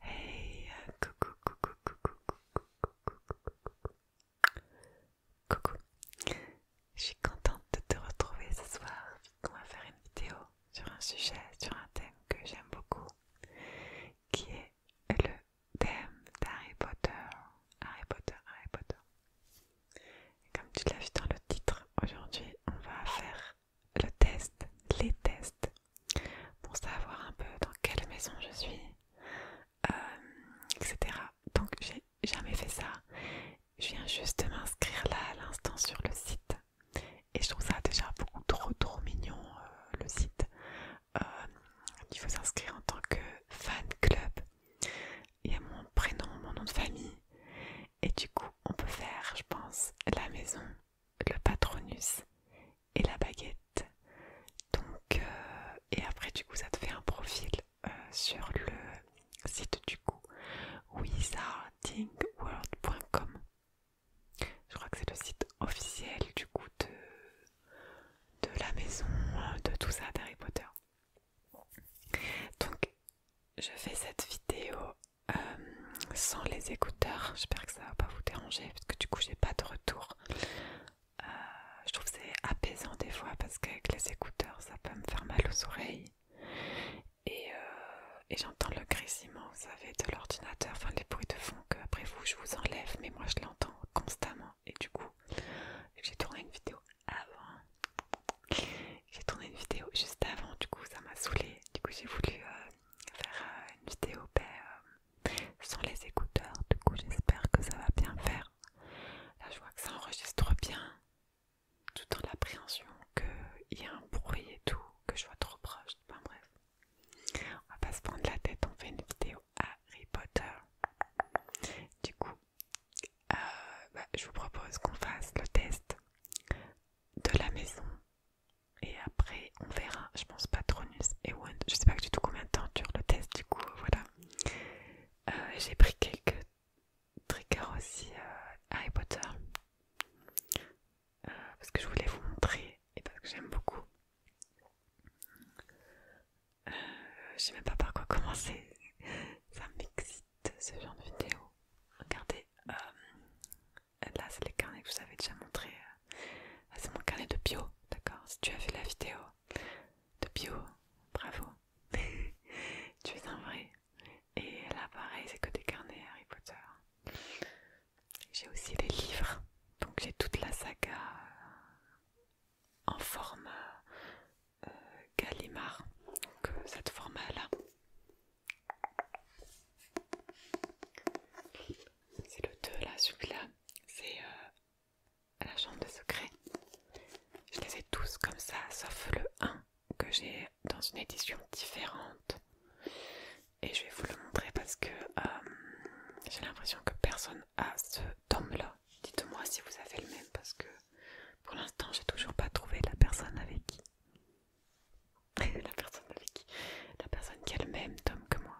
Hey, coucou, coucou, coucou, coucou, coucou, coucou. Je suis contente de te retrouver ce soir. On va faire une vidéo sur un sujet, sur un thème que j'aime beaucoup, qui est le thème d'Harry Potter. Harry Potter, Harry Potter comme tu l'as vu dans le titre, aujourd'hui on va faire le test, les tests, pour savoir un peu dans quelle maison je suis, euh, etc. Donc j'ai jamais fait ça. Je viens juste m'inscrire là à l'instant sur le site. Et je trouve ça déjà beaucoup trop trop mignon euh, le site. Euh, il faut s'inscrire en tant que fan club il y a mon prénom, mon nom de famille. Et du coup, on peut faire, je pense, la maison, le patronus et la baguette. Donc, euh, et après, du coup, ça te fait un profil euh, sur le site du coup, wizardingworld.com. Je crois que c'est le site officiel du coup de, de la maison, de tout ça d'Harry Potter. Donc, je fais cette vidéo euh, sans les écouteurs. J'espère que ça va pas vous déranger parce que du coup, j'ai pas de retour. Euh, je trouve que c'est apaisant des fois parce qu'avec les écouteurs, ça peut me faire mal aux oreilles. Euh, et, j'entends le grésillement, vous savez, de l'ordinateur, enfin les bruits de fond que après vous, je vous enlève, mais moi je l'entends constamment. Et du coup, j'ai tourné une vidéo avant. J'ai tourné une vidéo juste avant, du coup ça m'a saoulé Du coup j'ai voulu euh, faire euh, une vidéo ben, euh, sans les écouteurs. Du coup j'espère que ça va bien faire. Là je vois que ça enregistre bien, tout en l'appréhension qu'il y a un bruit et tout, que je vois trop proche. Enfin bref. On va pas se prendre la tête, on fait une vidéo Harry Potter. Du coup, euh, bah, je vous propose qu'on fasse le test de la maison et après on verra. Je pense pas Patronus et one, Je sais pas du tout combien de temps dure le test du coup. Voilà. Euh, j'ai pris quelques triggers aussi euh, Harry Potter parce que je voulais vous montrer et parce que j'aime beaucoup. Euh, je sais même pas par quoi commencer. Ça m'excite ce genre de vidéo. Regardez, euh, là c'est les carnets que je vous avais déjà montré. Euh, c'est mon carnet de bio, d'accord Si tu as vu la vidéo de bio, bravo. tu es un vrai. Et là pareil, c'est que des carnets Harry Potter. J'ai aussi des livres. Donc j'ai toute la saga en format euh, Gallimard, donc cette forme là C'est le 2 là, celui-là, c'est euh, la chambre de secret Je les ai tous comme ça, sauf le 1 que j'ai dans une édition différente. Et je vais vous le montrer parce que euh, j'ai l'impression que personne a ce tome-là. Dites-moi si vous avez le même parce que pour l'instant j'ai toujours pas trouvé la personne avec qui. la personne avec qui La personne qui a le même tome que moi.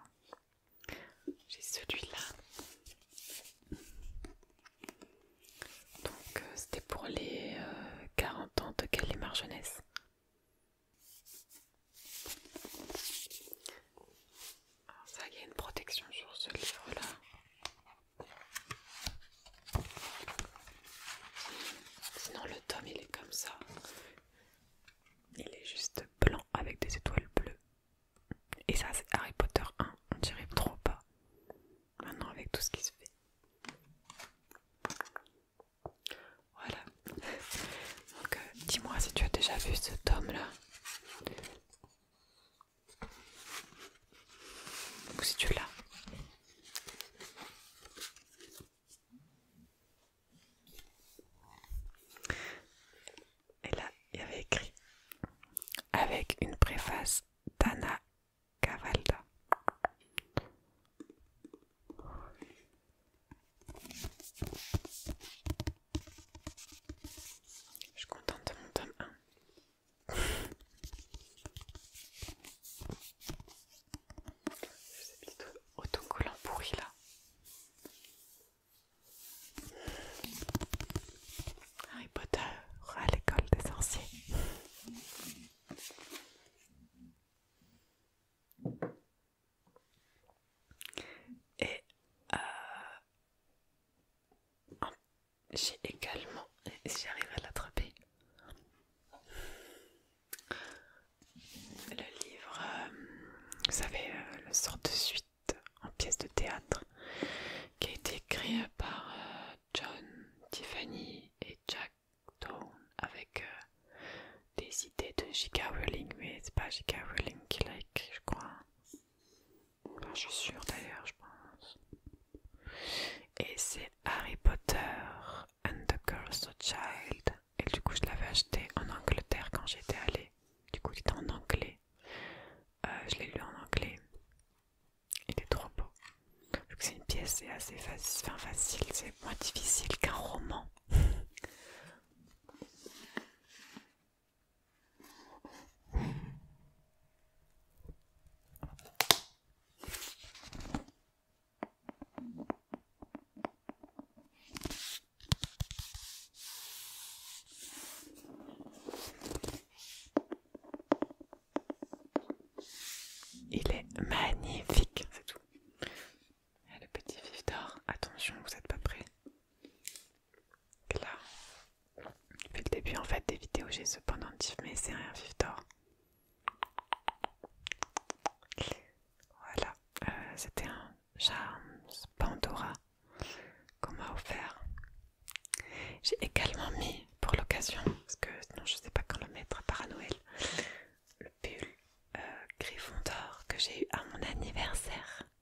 J'ai celui-là. Donc euh, c'était pour les 40 euh, ans de Kelly Jeunesse ça, il y a une protection sur ce livre-là. Sinon le tome il est comme ça. Il est juste blanc avec des étoiles bleues. Et ça c'est Harry Potter 1. On dirait trop pas. Maintenant avec tout ce qui se fait. Voilà. Donc euh, dis-moi si tu as déjà vu ce tome là si tu Et là, il y avait écrit avec une préface d'Anna Cavalda. Je suis contente de mon tome 1. Ces plutôt autocollants pourri là. Harry Potter à l'école des sorciers. Et euh, ah, j'ai également, j'arrive à l'attraper, le livre, euh, vous savez, euh, le sort de suite en pièce de théâtre qui a été écrit euh, par John, Tiffany et Jack Dawn avec des idées de J.K. Rowling, mais c'est pas J.K. Rowling qui l'a écrit, je crois je suis sûre d'ailleurs, je pense. Et c'est Harry Potter and the of Child. Et du coup, je l'avais acheté en Angleterre quand j'étais allée. Du coup, il était en anglais. Euh, je l'ai lu en anglais. Il est trop beau. c'est une pièce, c'est assez facile. Enfin, facile, c'est moins difficile qu'un roman. Il est magnifique, c'est tout. le petit vif d'or, attention, vous n'êtes pas prêts. Là, depuis le début en fait des vidéos, j'ai cependant pendentif, mais c'est un vif Voilà, euh, c'était un charme Pandora qu'on m'a offert. J'ai également mis pour l'occasion, parce que sinon je sais pas quand le mettre à Noël, le pull euh, Griffon d'or que j'ai eu à mon anniversaire.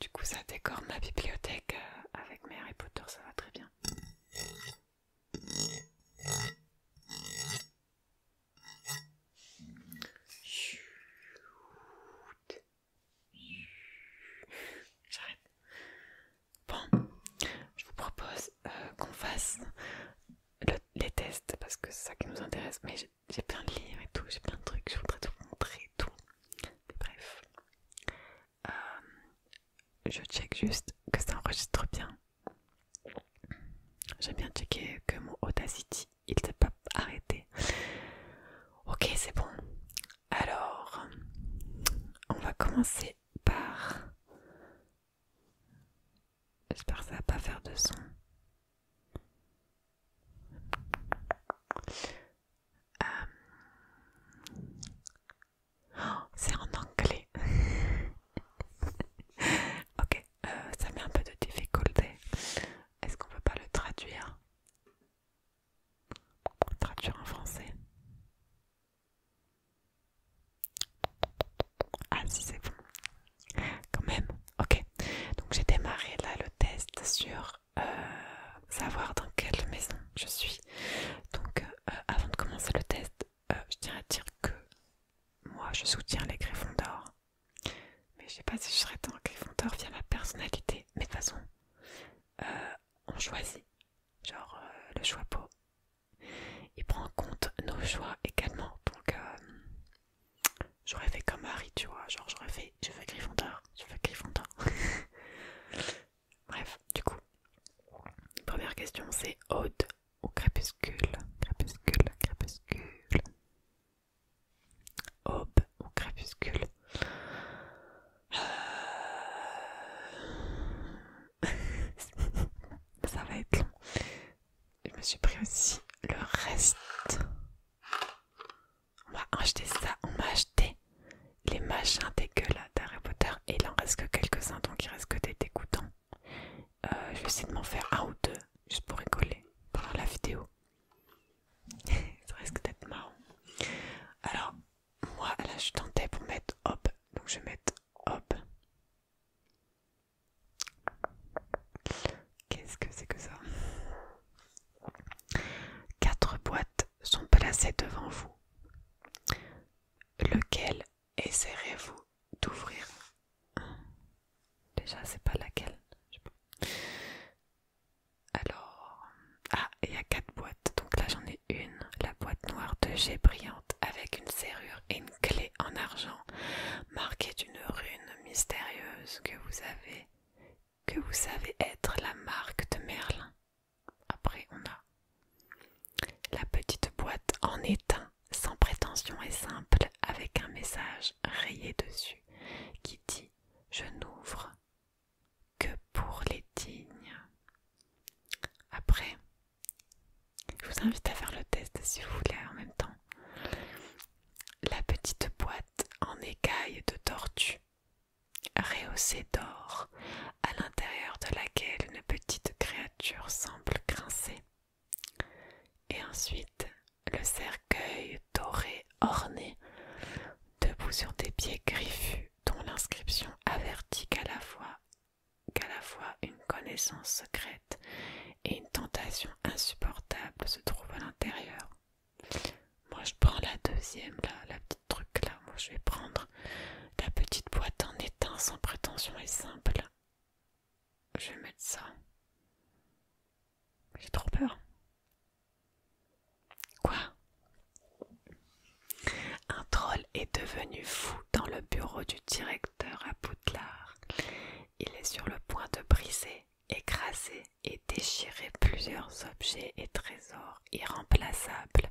Du coup, ça décore ma bibliothèque euh, avec mes Harry Potter, ça va très bien. J'arrête. Bon, je vous propose euh, qu'on fasse les tests parce que c'est ça qui nous intéresse. Mais j'ai plein de livres et tout, j'ai plein de trucs, je voudrais tout montrer et tout. bref, euh, je check juste que ça enregistre bien. J'aime bien checker que mon Audacity il s'est pas arrêté. Ok, c'est bon. Alors, on va commencer par J'espère que ça va pas faire de son. Euh, oh, c'est en anglais. ok, euh, ça met un peu de difficulté. Est-ce qu'on peut pas le traduire Traduire en français ah si c'est bon. Quand même. Ok. Donc j'ai démarré là le test sur euh, savoir dans quelle maison je suis. Donc euh, euh, avant de commencer le test, je tiens à dire que moi je soutiens les griffons d'or. Mais je sais pas si je serais dans griffon d'or via ma personnalité. Mais de toute façon, on choisit. Genre le choix peau. Il prend en compte nos choix également. Donc, euh, j'aurais fait comme Harry, tu vois. Genre, j'aurais fait, je veux je veux Bref, du coup, première question c'est Aude ou Crépuscule Crépuscule, Crépuscule. Aube ou Crépuscule euh, ça va être long. Je me suis pris aussi le reste. On m'a acheté ça, on m'a acheté les machins dégueulasses d'Harry Potter et il en reste que quelques-uns donc il reste que des dégoûtants. Euh, je vais essayer de m'en faire un ou deux juste pour rigoler pendant la vidéo. ça risque d'être marrant. Alors, moi là je tentais pour mettre hop, donc je vais mettre hop, Qu'est-ce que c'est que ça Quatre boîtes sont placées devant vous. Lequel essaierez-vous d'ouvrir Déjà, c'est pas laquelle. Alors, ah, il y a quatre boîtes. Donc là, j'en ai une, la boîte noire de G Brillante avec une serrure et une clé en argent marqué d'une rune mystérieuse que vous avez, que vous savez être la marque de Merlin. Après, on a la petite boîte en étain, sans prétention et simple, avec un message rayé dessus qui dit Je n'ouvre que pour les dignes. Après, je vous invite à faire le test si vous voulez en même temps. La petite boîte en écaille de tortue, rehaussée d'or, à l'intérieur de laquelle une petite créature semble grincer. Et ensuite, le cercueil doré orné, debout sur des pieds griffus, dont l'inscription avertit qu'à la fois qu'à la fois une connaissance secrète et une tentation insupportable se trouvent à l'intérieur. Moi je prends la deuxième, là, la petite truc là, moi je vais prendre la petite boîte en étain sans prétention et simple. Je vais mettre ça. J'ai trop peur. Quoi Un troll est devenu fou dans le bureau du directeur à Poudlard. Il est sur le point de briser, écraser et déchirer plusieurs objets et trésors irremplaçables.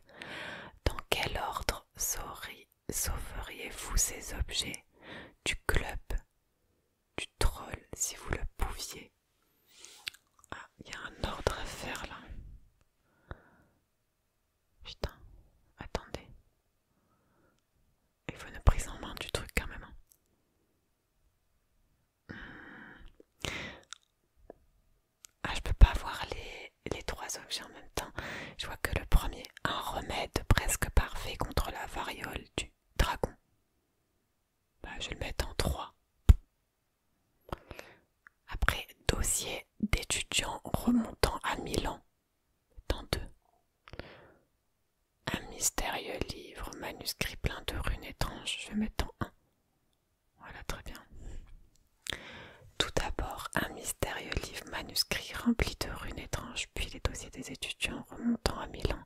Dans quel ordre sauveriez-vous ces objets Du club Du troll, si vous le pouviez Ah, il y a un ordre à faire là. Putain, attendez. Il faut une prise en main du truc quand même. Hein. Hmm. Ah, je peux pas voir les, trois objets en même temps. Je vois que le premier, un remède presque parfait contre la variole du dragon. Bah, je vais le mettre en trois. Après, dossier d'étudiants remontant à Milan dans deux. Un mystérieux livre, manuscrit plein de runes étranges, je vais mettre en un. Voilà, très bien. Tout d'abord, un mystérieux livre manuscrit rempli de runes étranges, puis les dossiers des étudiants remontant à Milan.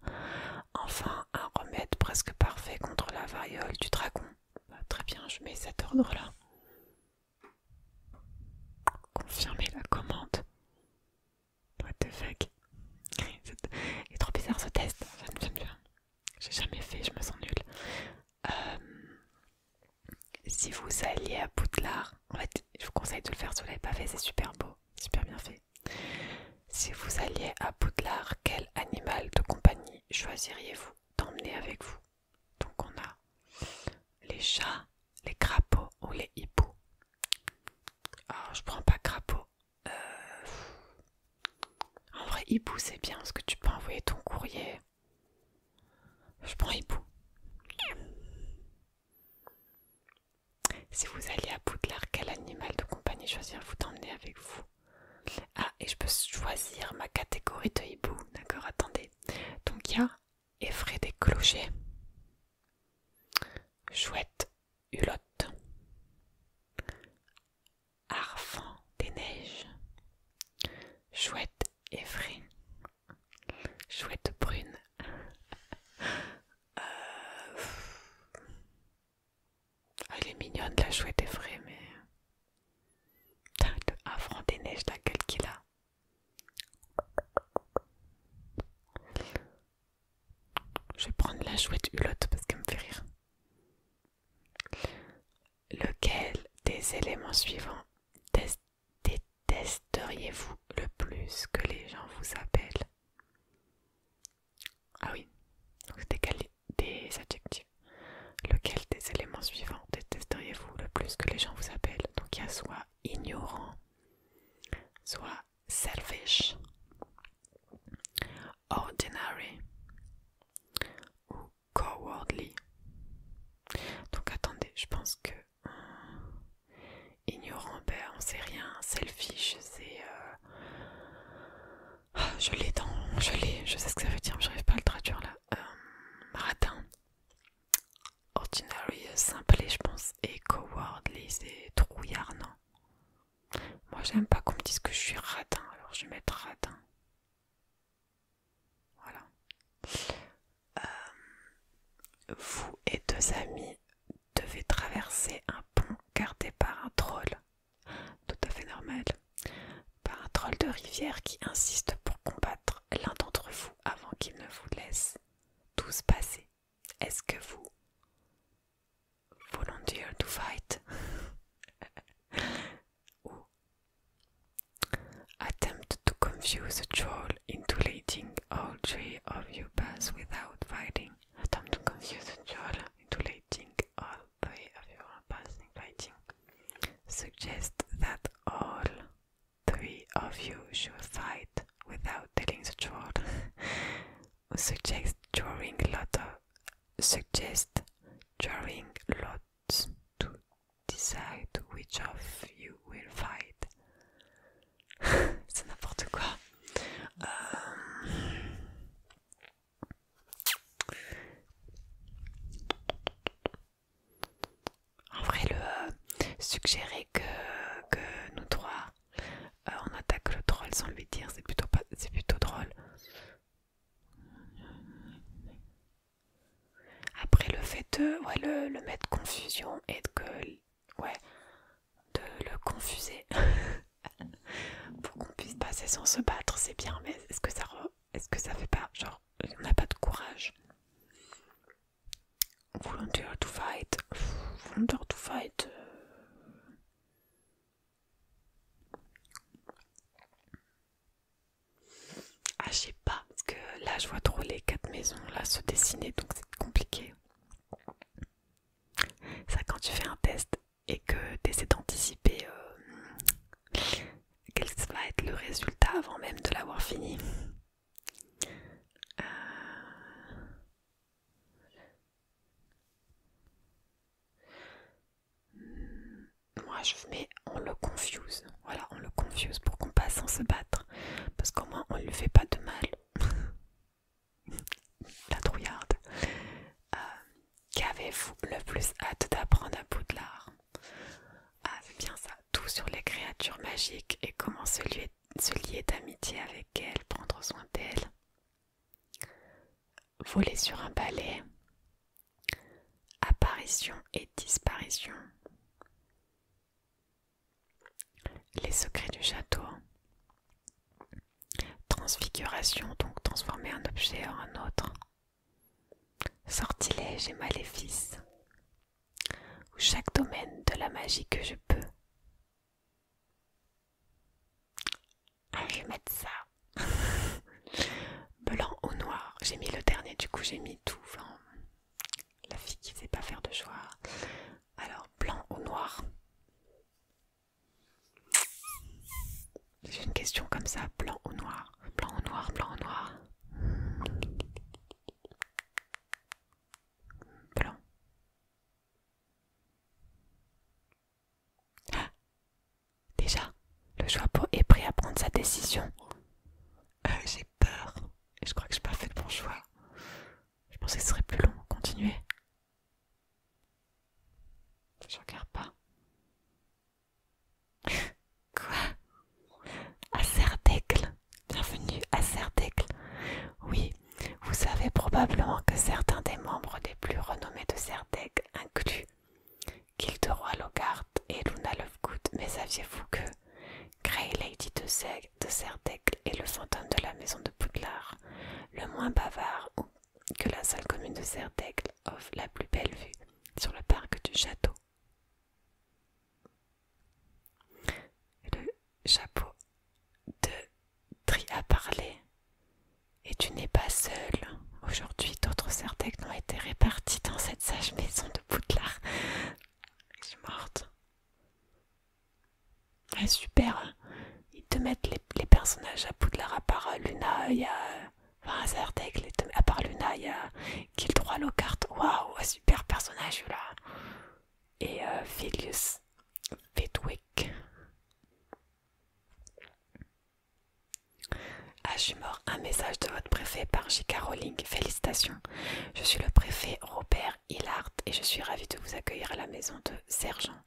Enfin, un remède presque parfait contre la variole du dragon. Bah, très bien, je mets cet ordre-là. Confirmer la commande. What the trop bizarre ce test. J'aime bien. J'ai jamais fait, je me sens nulle. Euh, si vous alliez à Poudlard, en fait, je vous conseille de le faire sous vous l'avez pas fait, c'est super beau, super bien fait. Si vous alliez à Poudlard, quel animal de compagnie choisiriez-vous d'emmener avec vous donc on a les chats, les crapauds ou les hiboux. Alors je prends pas crapaud. Euh, en vrai hibou c'est bien parce que tu peux envoyer ton courrier. Je prends hibou. Si vous allez à bout de l'arc quel animal de compagnie choisir-vous d'emmener avec vous Ah, et je peux choisir ma catégorie de hibou. D'accord, attendez. Donc il y a Effray des clochers. Chouette hulotte, Arfant des neiges, chouette effray, chouette brune. elle euh, ah, est mignonne la chouette effray mais. avant des neiges laquelle qui qu'il a. Je vais prendre la chouette hulotte parce qu'elle me fait rire. Lequel des éléments suivants détesteriez-vous le plus que les gens vous appellent Ah oui, donc des adjectifs. Lequel des éléments suivants détesteriez-vous le plus que les gens vous appellent Donc il y a soit ignorant, soit selfish, ordinary ou cowardly. Donc attendez, je pense que euh, ignorant, ben on sait rien, selfish c'est... Euh, ah, je l'ai dans... Je l'ai, je sais ce que ça veut dire, mais j'arrive pas à le traduire là. Euh, Ordinary, euh, simple, et je pense, et cowardly, c'est trouillard, non Moi, j'aime pas qu'on me dise que je suis ratin, alors je vais mettre radin. Voilà. Euh, vous et deux amis devez traverser un pont gardé par un troll. Tout à fait normal. Par un troll de rivière qui insiste pour combattre l'un d'entre vous avant qu'il ne vous laissent tous passer. Est-ce que vous volunteer to fight ou attempt to confuse a troll into letting all three of you pass without fighting? Attempt to confuse a troll into letting all three of you pass without fighting. Suggest that all Three of you should fight without telling the truth. suggest drawing lots. Suggest drawing lots to decide which of you will fight. C'est n'importe quoi. Um, En vrai, le euh, suggérer que, nous trois euh, on attaque le troll sans lui dire, c'est plutôt, pas, plutôt drôle. Après le fait de le, mettre confusion et de que de le confuser pour qu'on puisse passer sans se battre, c'est bien, mais est-ce que ça est-ce que ça fait pas genre on n'a pas de courage Volunteer to fight volunteer to fight euh. ah je sais pas parce que là je vois trop les quatre maisons là se dessiner donc c'est compliqué ça quand tu fais un test et que tu essaies d'anticiper euh, quel va être le résultat avant même de l'avoir fini euh, hmm, Moi je mets on le confuse, voilà on le confuse pour qu'on passe sans se battre, parce qu'au moins on ne lui fait pas de mal. La trouillarde. Euh, qu'avez-vous le plus hâte d'apprendre à l'art Ah c'est bien ça tout sur les créatures magiques et comment se lier, d'amitié avec elles, prendre soin d'elles, voler sur un balai, apparition et disparition, les secrets du château, transfiguration, donc transformer un objet en un autre, sortilège et maléfice, ou chaque domaine de la magie que je peux. Ah, je mettre ça. Blanc ou noir, j'ai mis le dernier, du coup j'ai mis tout. blanc. la fille qui ne sait pas faire de choix. Alors, blanc ou noir J'ai une question comme ça, blanc ou noir blanc ou noir, blanc noir. Blanc. Déjà, le choix est prêt à prendre sa décision. Euh, j'ai peur. et Je crois que je n'ai pas fait le bon choix. Je pensais que ce serait plus long. Continuez. Je regarde pas. Quoi À Cerdecle Bienvenue à Cerdecle. Oui, vous savez probablement que certains des membres des plus renommés de Cerdecle incluent Gilderoy Logart et Luna Lovegood, mais saviez-vous que Grey Lady de, Zeg, de est le fantôme de la maison de Poudlard, le moins bavard que la seule commune de Cerdecle offre la plus belle vue sur le parc du château. Le chapeau de Tri a parlé. Et tu n'es pas seule Aujourd'hui, d'autres certecs ont été répartis dans cette sage maison de Poudlard. Je suis morte. Ah, super. Ils te mettent les, personnages à Poudlard à part euh, Luna. Il y a Enfin, Azartek, à part Luna, il y a Kill 3 Waouh, super personnage là. Et philius euh, Filius Ah, je suis mort. Un message de votre préfet par J.K. Rowling. Félicitations. Je suis le préfet Robert Hillard et je suis ravi de vous accueillir à la maison de Sergent.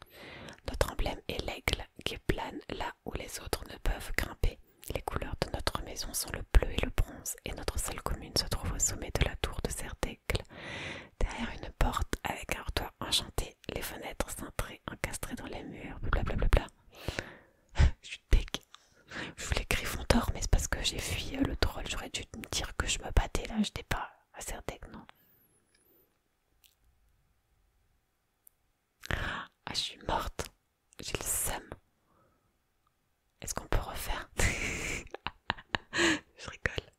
Notre emblème est l'aigle qui plane là où les autres ne peuvent grimper. Les couleurs de notre maison sont le bleu et le bronze, et notre salle commune se trouve au sommet de la tour de Serdaigle. Derrière une porte avec un toit enchanté, les fenêtres cintrées, encastrées dans les murs, blablabla. je suis dégueu. Je voulais griffon d'or, mais c'est parce que j'ai fui le troll. J'aurais dû me dire que je me battais là, j'étais pas à Serdaigle, non. Ah, je suis morte. J'ai le seum. Est-ce qu'on peut refaire Je rigole.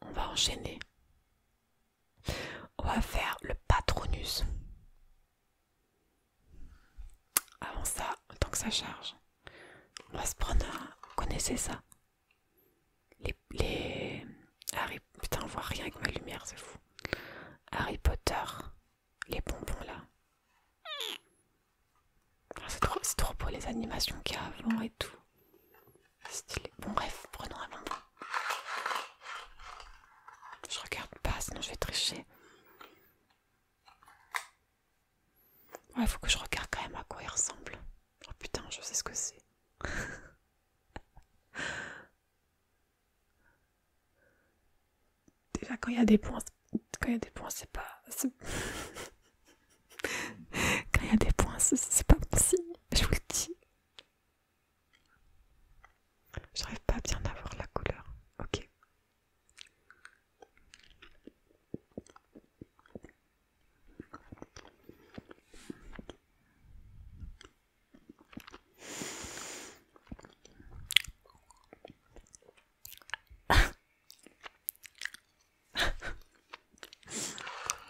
On va enchaîner. On va faire le patronus. Avant ça, tant que ça charge, on va se prendre connaissez ça les, les Harry, putain, on voit rien avec ma lumière, c'est fou. Harry Potter, les bonbons là. Ah, c'est trop, trop beau les animations qu'il y a avant et tout. Stylé. Bon bref, prenons un bonbon. Je regarde pas, sinon je vais tricher. Ouais, faut que je regarde quand même à quoi il ressemble. Oh putain, je sais ce que c'est. Déjà, quand il y a des points, quand il y a des points, c'est pas. quand il y a des points, c'est pas possible, je vous le dis. J'arrive pas à bien avoir la couleur. Ok.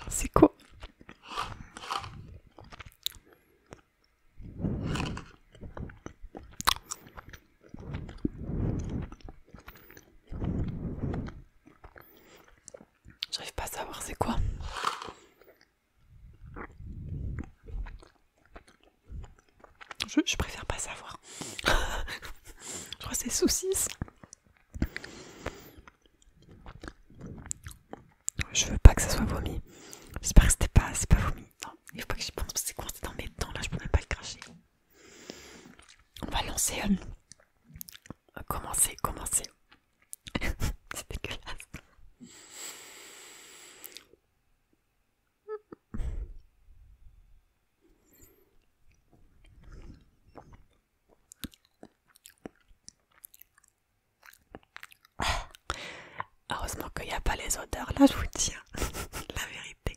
C'est quoi J'arrive pas à savoir c'est quoi. Je, préfère pas savoir. je crois que c'est saucisse. Je veux pas que ça soit vomi. J'espère que c'était pas, vomi. Non, il faut pas que j'y pense parce que c'est dans mes dents là, je pourrais pas le cracher. On va lancer. un euh, commencer, commencer. C'est dégueulasse. Ah, heureusement qu'il n'y a pas les odeurs là, je vous tiens hein. la vérité.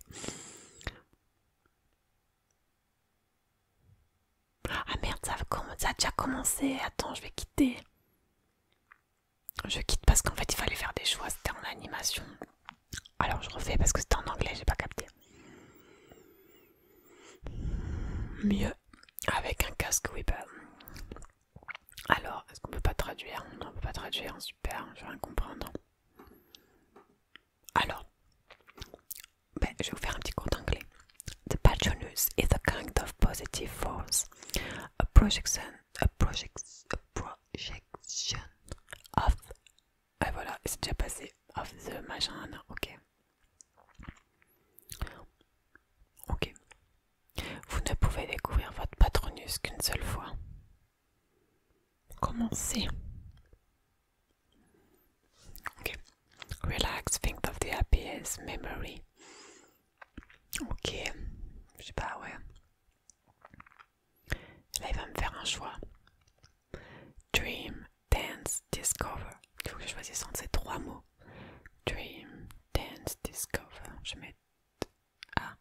Ah merde, ça, a déjà commencé. Attends, je vais quitter. Je quitte parce qu'en fait, il fallait faire des choix. C'était en animation. Alors, je refais parce que c'était en anglais, j'ai pas capté. Mieux avec un casque Weaver Alors, est-ce qu'on peut pas traduire Non, on peut pas traduire. Super, je vais comprendre. Alors, ben, je vais vous faire un petit compte d'anglais The patronus is a kind of positive force, a projection, a, projection of. Et ah, voilà, c'est déjà passé. Of the machin, ok. Ok. Vous ne pouvez découvrir votre patronus qu'une seule fois. Commencez Ok, Relax, think of the happiest memory. Ok, je sais pas, ouais. Là, il va me faire un choix. Dream, dance, discover. Il faut que je choisisse entre ces trois mots. Dream, dance, discover. Je mets A.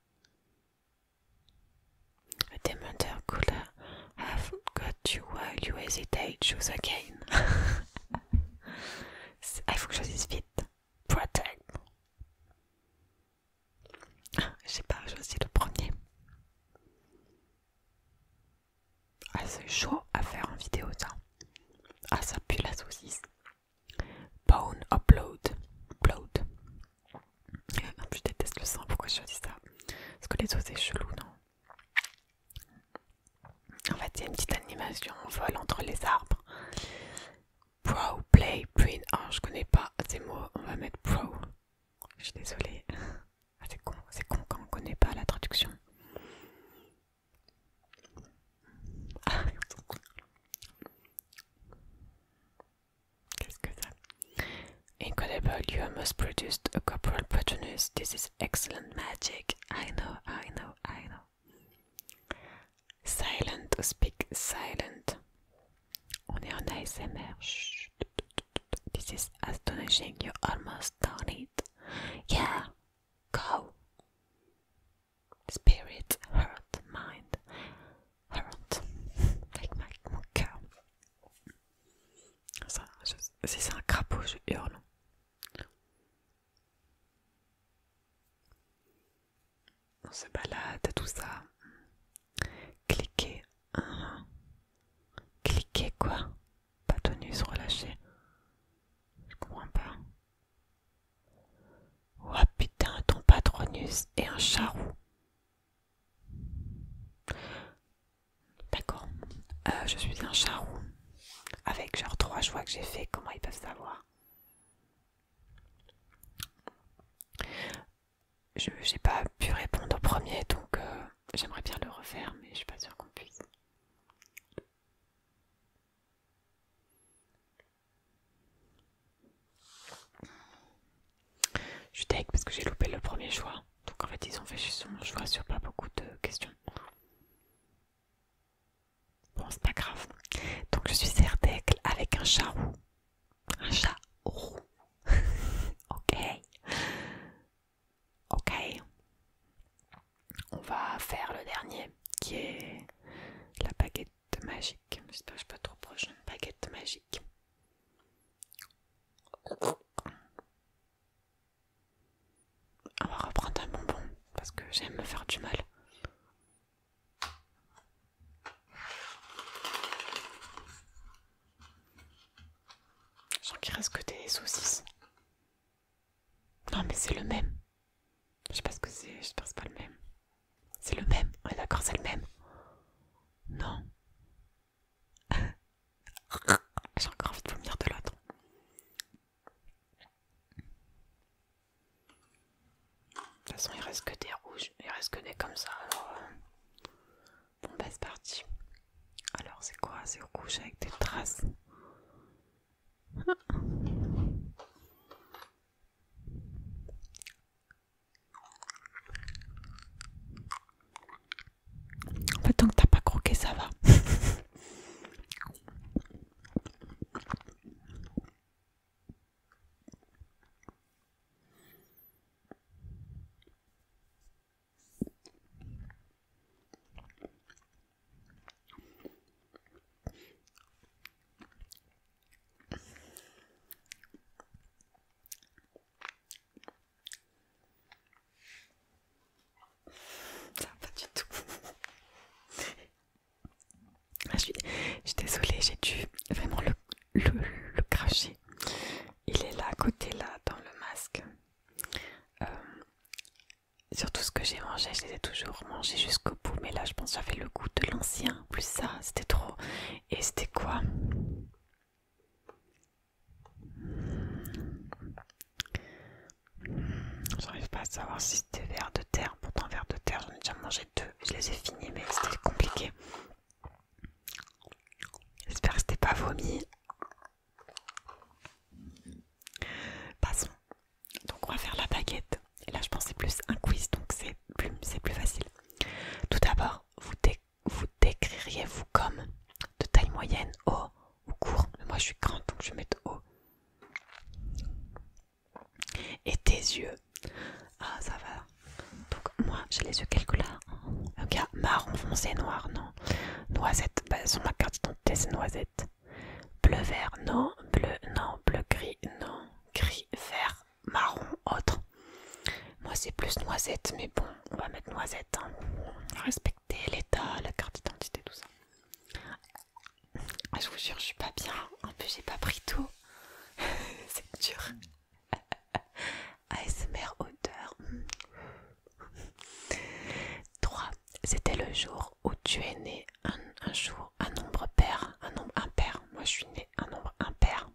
A Dementor could have got you while you hesitate, choose again. il faut que je choisisse vite. Protect. Ah, je sais pas je choisis le premier. Ah, c'est chaud à faire en vidéo, ça. Ah, ça pue la saucisse. Bone upload. Upload je ah, déteste le sang, pourquoi je dis ça Parce que les os c'est chelou, non En fait, il y a une petite animation on vol entre les arbres. Pro, play, print. Ah, je connais pas ces mots, on va mettre pro. Je suis désolée. Ah, c'est con, c'est con quand on connaît pas la traduction. Incredible, you almost produced a corporal patronus. This is excellent magic. I know, I know, I know. Silent speak silent. On est en ASMR. Shh. This is astonishing. You almost done it. Yeah, go. Spirit, heart, mind. avec mon cœur. Si c'est un crapaud, je hurle. On se balade, tout ça. Cliquez. Uh-huh. Cliquez quoi Patronus, relâché. Je comprends pas. Oh putain, ton patronus et un charou. D'accord. Euh, je suis un Charou Avec genre trois choix que j'ai fait, comment ils peuvent savoir Je n'ai pas pu répondre au premier, donc euh, j'aimerais bien le refaire, mais je suis pas sûre qu'on puisse. Je suis tech parce que j'ai loupé le premier choix. Donc en fait ils ont fait juste son choix sur pas beaucoup de questions. Bon c'est pas grave. Donc je suis Zerdek avec un chat roux. Un chat roux. ok. Ok. On va faire le dernier qui est la baguette magique. J'espère que je suis pas trop proche. Baguette magique. On va reprendre un bonbon parce que j'aime me faire du mal. Je sens qu'il reste que des saucisses. Non mais c'est le même. Je sais pas ce que c'est, je pas le même. C'est le même. est d'accord, c'est le même. Non. J'ai encore envie de vomir de l'autre. De toute façon, il reste que des rouges, il reste que des comme ça. Alors, euh. bon, bah, c'est parti. Alors, c'est quoi C'est rouge avec des traces. En fait, tant que t'as pas croqué, ça va. Ça va pas du tout. Ah, je, suis, désolée, j'ai dû vraiment le, cracher. Il est là à côté, là, dans le masque. surtout euh, sur tout ce que j'ai mangé, je les ai toujours mangés jusqu'au bout. Mais là, je pense que j'avais le goût de l'ancien. Plus ça, c'était trop. Et c'était quoi J'arrive pas à savoir si c'était vert de terre. Pourtant, verre de terre, j'en ai déjà mangé deux. Je les ai finis, mais c'était compliqué. J'espère que c'était pas vomi. Passons. Donc, on va faire la baguette. Et là, je pensais plus un quiz. Donc, c'est c'est plus facile. Tout d'abord, vous, vous décririez-vous comme de taille moyenne, haut ou court Moi je suis grande donc je vais mettre haut. Et tes yeux Ah ça va. Donc moi j'ai les yeux un Ok, marron foncé, noir, non. Noisette, bah, sur ma carte c'est noisette. Bleu vert, non. Bleu, non. Bleu gris, non. Gris vert, marron autre. Moi c'est plus noisette, mais bon, on va mettre noisette. Hein. Respecter l'état, la carte d'identité, tout ça. Ah, je vous jure, je suis pas bien. En plus, j'ai pas pris tout. c'est dur. mère odeur. 3. C'était le jour où tu es né. Un, jour, un nombre pair, un nombre impair. Moi, je suis né un nombre impair.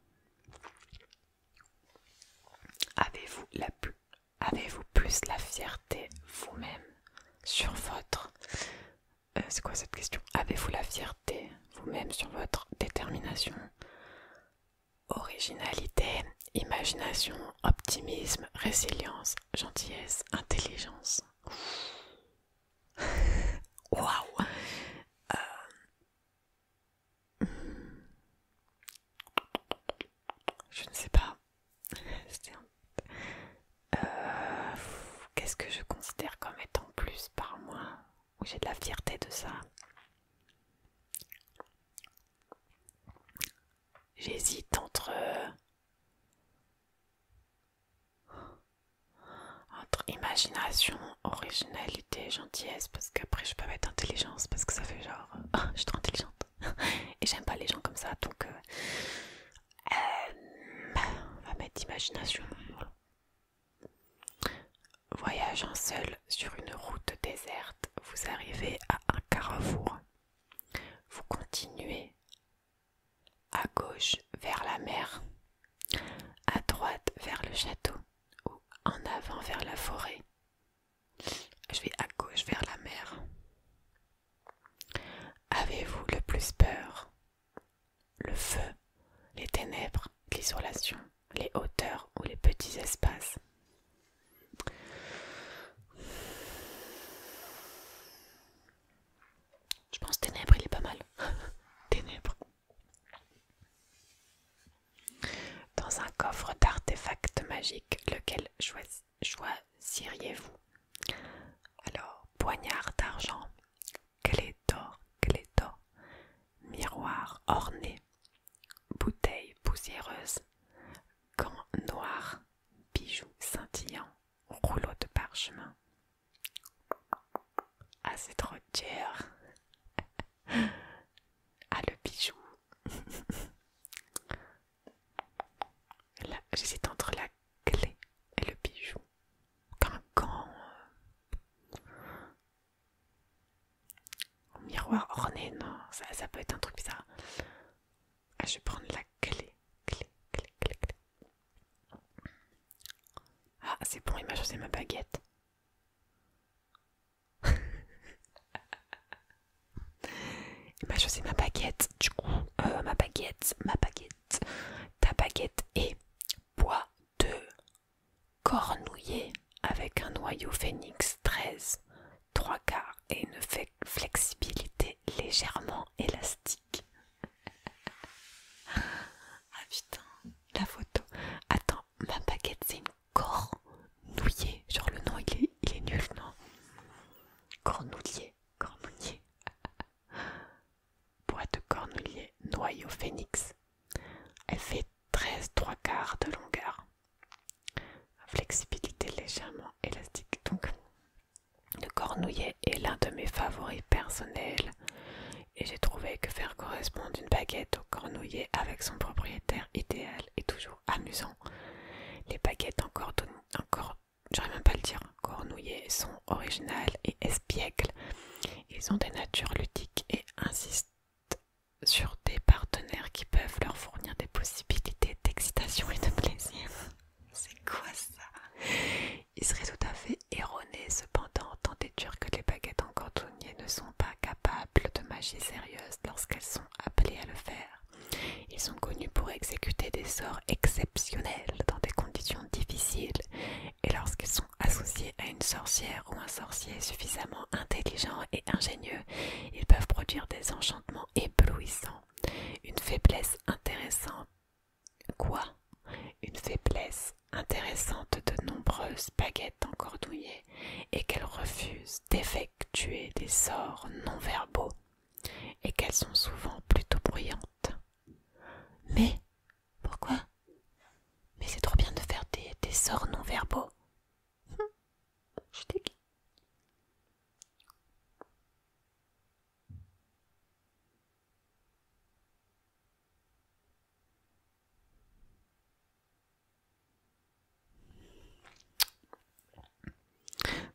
Avez-vous plus, avez plus la fierté vous-même sur votre... Euh, c'est quoi cette question Avez-vous la fierté vous-même sur votre détermination, originalité, imagination, optimisme, résilience, gentillesse, intelligence Waouh euh, je ne sais pas. Euh, qu'est-ce que je considère comme étant plus par moi j'ai de la fierté de ça J'hésite entre... Entre imagination, originalité, gentillesse, parce qu'après je peux mettre intelligence, parce que ça fait genre, je suis trop intelligente. Et j'aime pas les gens comme ça, donc euh, euh, on va mettre imagination. Voyageant seul sur une route déserte, vous arrivez à un carrefour. Vous continuez à gauche vers la mer à droite vers le château ou en avant vers la forêt. Je vais à gauche vers la mer. Avez-vous le plus peur Le feu, les ténèbres, l'isolation, les hauteurs ou les petits espaces Je pense ténèbres, il est pas mal. ténèbres. Dans un coffre d'artefacts magiques, lequel choisiriez-vous Alors, poignard d'argent, clé d'or, clé d'or, miroir orné, bouteille poussiéreuse, gants noirs, bijoux scintillants, rouleau de parchemin, ah, c'est trop cher. Ah, le bijou. Là, j'hésite entre la clé et le bijou. Comme un gant. Euh, au miroir orné, non, ça, ça peut être un truc bizarre. Ah, je vais prendre la clé. Clé, clé, clé, clé. Ah, c'est bon, il m'a choisi ma baguette. il m'a choisi ma baguette. Du coup, euh, ma baguette, ma baguette, ta baguette est bois de cornouiller avec un noyau phénix 13, 3 quarts et une flexibilité légèrement élastique ah putain, la photo. Attends, ma baguette c'est une cornouillée. Genre le nom il est, nul, non Cornouillée, cornouillée. Boîte de cornouillée, noyau phénix. Elle fait 13 3 quarts de longueur. Flexibilité légèrement élastique. Donc, le cornouiller est l'un de mes favoris personnels et j'ai trouvé que faire correspondre une baguette au cornouiller avec son propriétaire idéal est toujours amusant. Les baguettes encore, encore même pas le dire, cornouillées sont originales et espiègles. Ils ont des natures ludiques et insistent sur des partenaires qui peuvent leur fournir des possibilités d'excitation et de plaisir. C'est quoi ça Il serait tout à fait erroné cependant que les baguettes en cantonnier ne sont pas capables de magie sérieuse lorsqu'elles sont appelées à le faire. Ils sont connus pour exécuter des sorts exceptionnels dans des conditions difficiles et lorsqu'ils sont associés à une sorcière ou un sorcier suffisamment intelligent et ingénieux, ils peuvent produire des enchantements éblouissants. Une faiblesse intéressante Quoi Une faiblesse intéressante de nombreuses baguettes encordouillées et qu'elles refusent d'effectuer des sorts non verbaux et qu'elles sont souvent plutôt bruyantes. Mais pourquoi Mais c'est trop bien de faire des, sorts non verbaux. Hum, je t'ai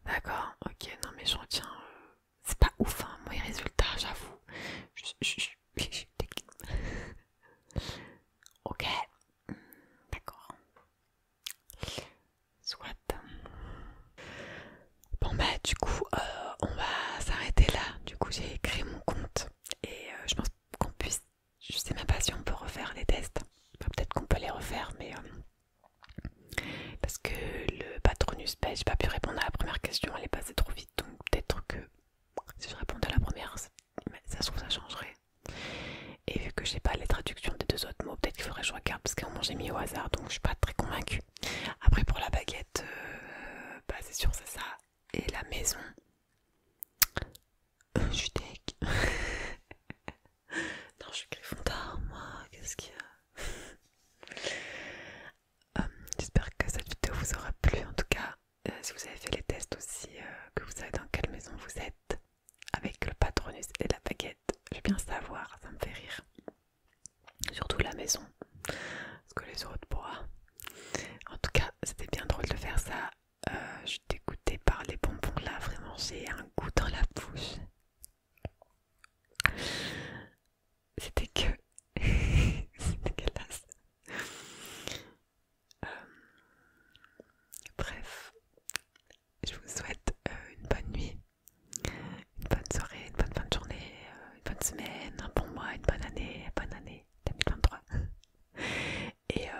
D'accord, ok, non mais j'en tiens, euh, c'est pas ouf, hein, moi résultat, j'avoue. Ok, d'accord. Soit. Bon bah du coup euh, on va s'arrêter là. Du coup j'ai créé mon compte et euh, je pense qu'on puisse... Je sais même pas si on peut refaire les tests. Peut-être qu'on peut les refaire mais... Euh, parce que le patronus page, bah, j'ai pas pu répondre à la première question, elle est passée trop vite. Donc peut-être que si je répondais à la première, ça, se trouve ça changerait. Et vu que j'ai pas les traductions des deux autres mots, peut-être qu'il faudrait que je regarde parce qu'on un j'ai mis au hasard donc je suis pas très convaincue. Après pour la baguette, euh, bah c'est sûr c'est ça. Et la maison, euh, je suis non je suis griffon moi, qu'est-ce qu'il y a euh, J'espère que cette vidéo vous aura plu en tout cas. si vous avez fait les tests aussi, que vous savez dans quelle maison vous êtes, avec le patronus et la baguette, je vais bien savoir, ça me fait rire. Surtout la maison. Parce que les autres bois, En tout cas, c'était bien drôle de faire ça. Euh, je suis par les bonbons là. Vraiment, j'ai un goût dans la bouche. C'était que. c'était dégueulasse. Euh... Bref, je vous souhaite euh, une bonne nuit une bonne soirée, une bonne fin de journée, euh, une bonne semaine, un bon mois, une bonne année, une bonne année 2023. Et euh,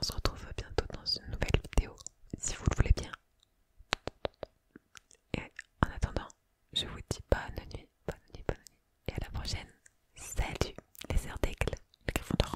on se retrouve bientôt dans une nouvelle vidéo, si vous le voulez bien. Et en attendant, je vous dis bonne nuit, bonne nuit, bonne nuit. Et à la prochaine. Salut les heures d'aigle, le griffon d'or.